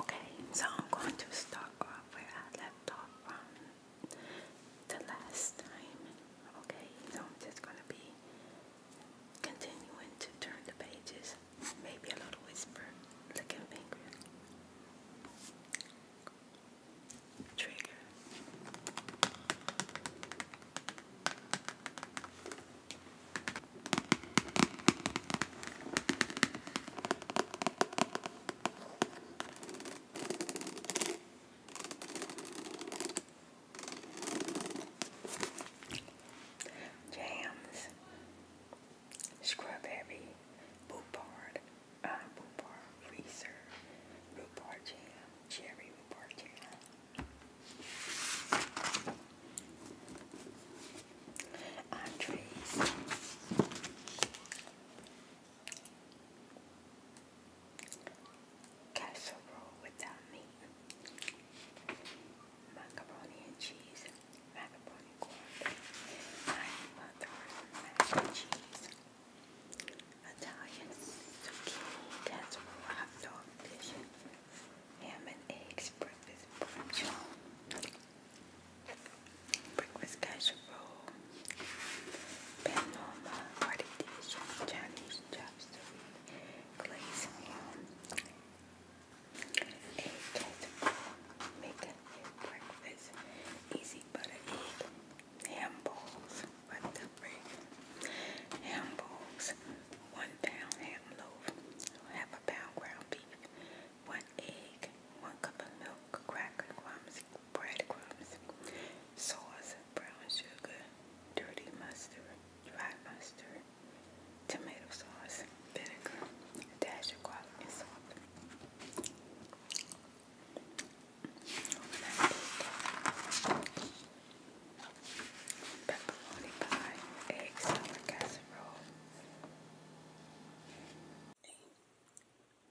Okay, so I'm going to start off where I left off from the last time. Okay, so I'm just going to be continuing to turn the pages. Maybe a little whisper, licking finger. Trigger. Jams, Strawberry, Boopard, uh, Boopard Freezer, Boopard Jam, Cherry Boopard Jam. Andres. Casserole without meat. Macaroni and cheese. Macaroni cornbread. Nine mac and cheese. Italian casserole hot dog dish ham and eggs, breakfast brunch, breakfast casserole, panorama, party dish, Chinese chopstick, glazed ham, egg casserole, make breakfast, easy butter egg, ham balls, butter ham balls, one pound ham gram loaf, half a pound ground beef, one egg, one cup of milk, cracker crumbs, bread crumbs, sauce, brown sugar, dirty mustard, dry mustard, tomato sauce, vinegar, dash of salt pepperoni pie, egg salad casserole,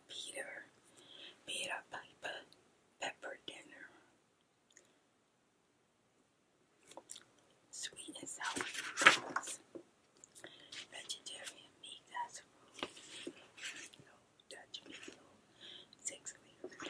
Peter, Peter Piper, pepper dinner, sweet and sour meatballs, vegetarian meat casserole, no Dutch meatloaf, six weeks,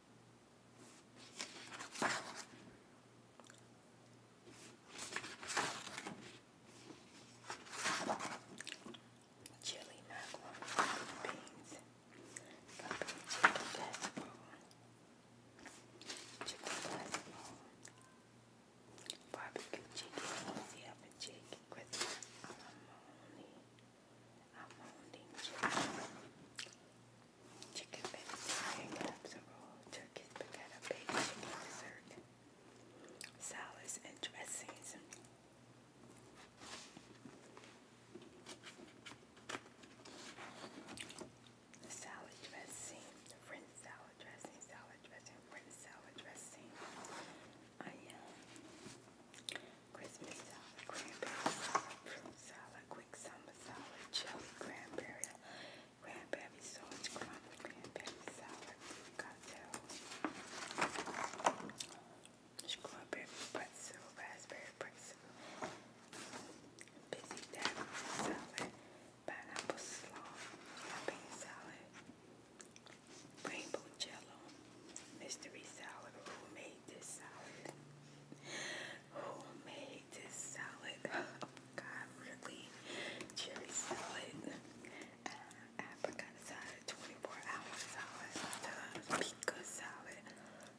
Chili macaroni, beans, pumpkin chicken casserole, chicken casserole, barbecue chicken, easy up chicken, Christmas alimony, I'm holding chicken, chicken vegetarian casserole, turkey spaghetti, baked chicken dessert, salads and dressings. The salad dressing, the salad dressing, salad dressing, French salad dressing, onion, Christmas salad, cranberry salad, fruit salad, quick summer salad, chili, cranberry, cranberry sauce, crumble, cranberry salad, cocktail, strawberry pretzel, raspberry pretzel, busy daddy salad, pineapple salad, rainbow jello, mystery salad, homemade this salad? Who this salad? Oh God, really? Cherry salad. Uh, salad, 24 hour salad, pico salad,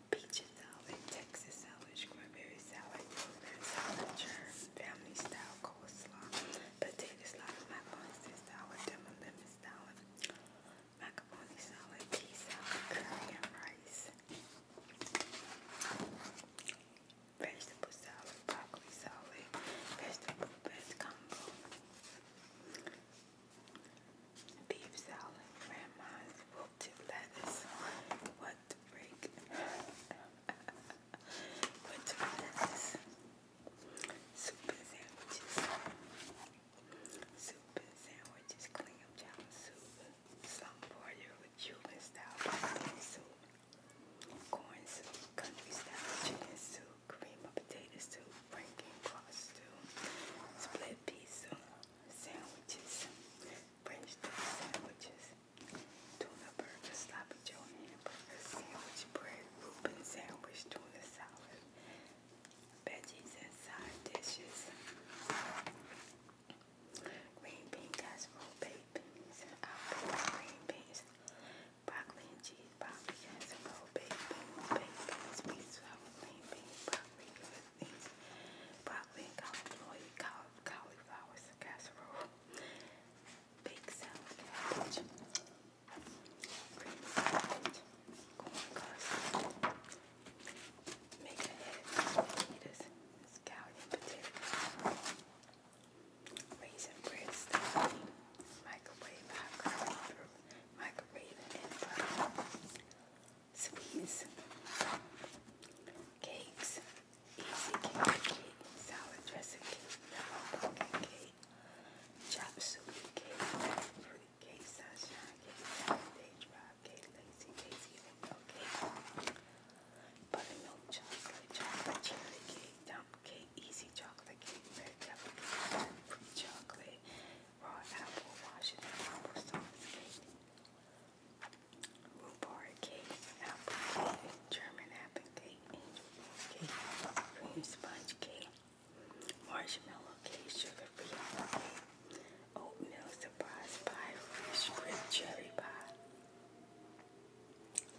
peach salad, Texas salad, strawberry salad, salad, family style coleslaw, potato salad, macaroni salad, lemon salad, macaroni salad, tea salad, curry and rice, vegetable salad, broccoli salad, vegetable best combo, beef salad, grandma's wilted lettuce, what the break, what lettuce, soup sandwiches. Soup and sandwiches, clam chowder soup, some for you with Cuban style potato soup, corn soup, country style chicken soup, cream of potato soup, Franken cross stew, split pizza, sandwiches, French toast sandwiches, tuna burger, sloppy joe hamburger, sandwich bread, Reuben sandwich, tuna salad, veggies and side dishes. Green bean casserole, baked beans, green beans, broccoli and cheese, broccoli casserole, baked beans, baked beans, green beans, broccoli with beans, broccoli and cauliflower, cauliflower casserole, baked salad, cabbage. Making it is scallion potatoes, raisin bread stuffing, microwave hot curry fruit, microwave and butter, sweets, cakes, easy cake, cake salad dressing cake, yellow pumpkin cake, Jumpsuit, Kate, Pretty Kate, Sunshine, Kate, Saturday, Drive, Kate, Lazy, Casey, Buttermilk, Chocolate, Chocolate, Cherry Cake, Dump Cake, Easy Chocolate Cake, Red Pepper Cake, Free Chocolate, Raw Apple, Washington, Apple Sauce Cake, Rhubarb Cake, Apple German Apple Cake, Angel Cake, Cream Sponge Cake, marshmallow cake, sugar-free honey, oatmeal surprise pie, fresh grip cherry pie,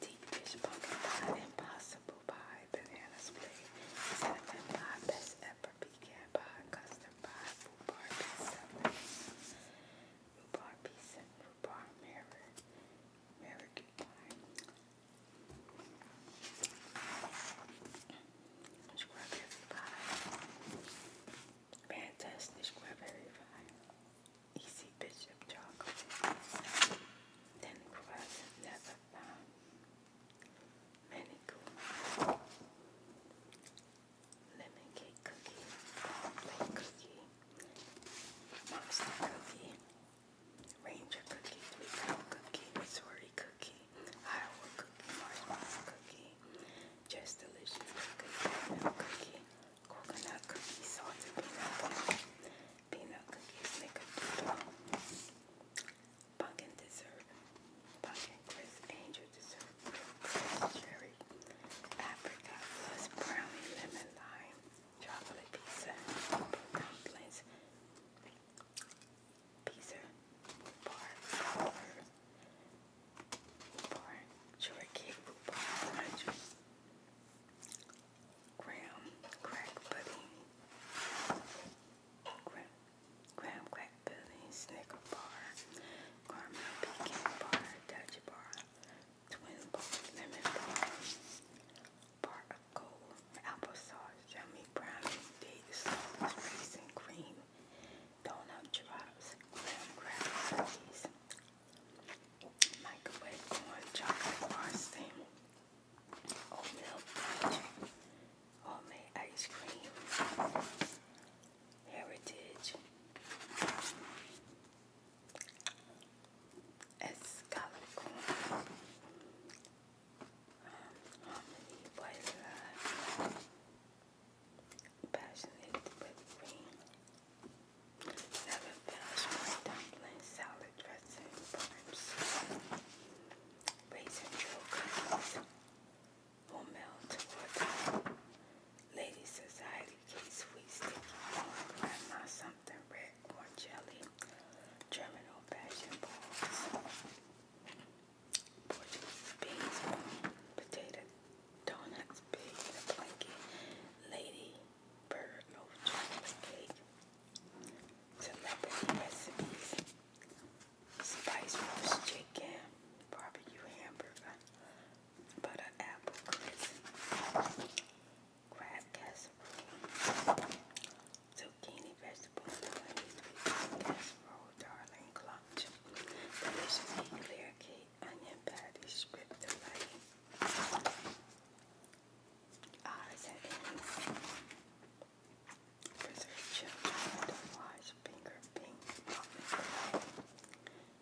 deep dish pumpkin pie, impossible pie, banana split, cinnamon pie, best ever pecan pie, custard pie, rhubarb pizza, rhubarb pizza, rhubarb mirror, mirror pie, Strawberry pie. Fantastic strawberry pie. Easy Bishop chocolate. Then present never found. Many Lemon cake cookie. Cornflake cookie. Monster cookie. Ranger cookie, Sweet cookie, Missouri cookie, Iowa cookie, marshmallow cookie, just delicious cookie, cookie, coconut cookie, salted peanut cookie, peanut cookies, snickerdoodle, pumpkin dessert, pumpkin crisp, angel dessert, cherry, apricot, brownie, lemon, lime, chocolate pizza, dumplings, pizza, bar, bar, bar, shortcake, bar, graham, crack pudding, graham crack pudding, snicker bar, caramel pecan bar, Dutch bar, twin balls, lemon balls, part of gold, applesauce, yummy brownie, date sauce, raisin cream, donut drops, graham microwave corn, chocolate bar oatmeal homemade ice cream, heritage, it's Harmony, Boys Passionate with Green, Seven Vegetables, Dumplings, Salad Dressing, Buns, Raisin Drill Cups, Melt, Ladies Society, Sweet Sticky, Grandma Summer something red corn jelly, German old balls, Portuguese beans, potato donuts, pigs blanket, lady bird loaf chocolate cake, celebrity recipes, spice roast chicken, barbecue hamburger, butter apple crisp, crab casserole, zucchini vegetable casserole, darling clutch, delicious clear cake, onion patty, strip delighting. Ours ah, and eggs, preserved children, wash, finger pink,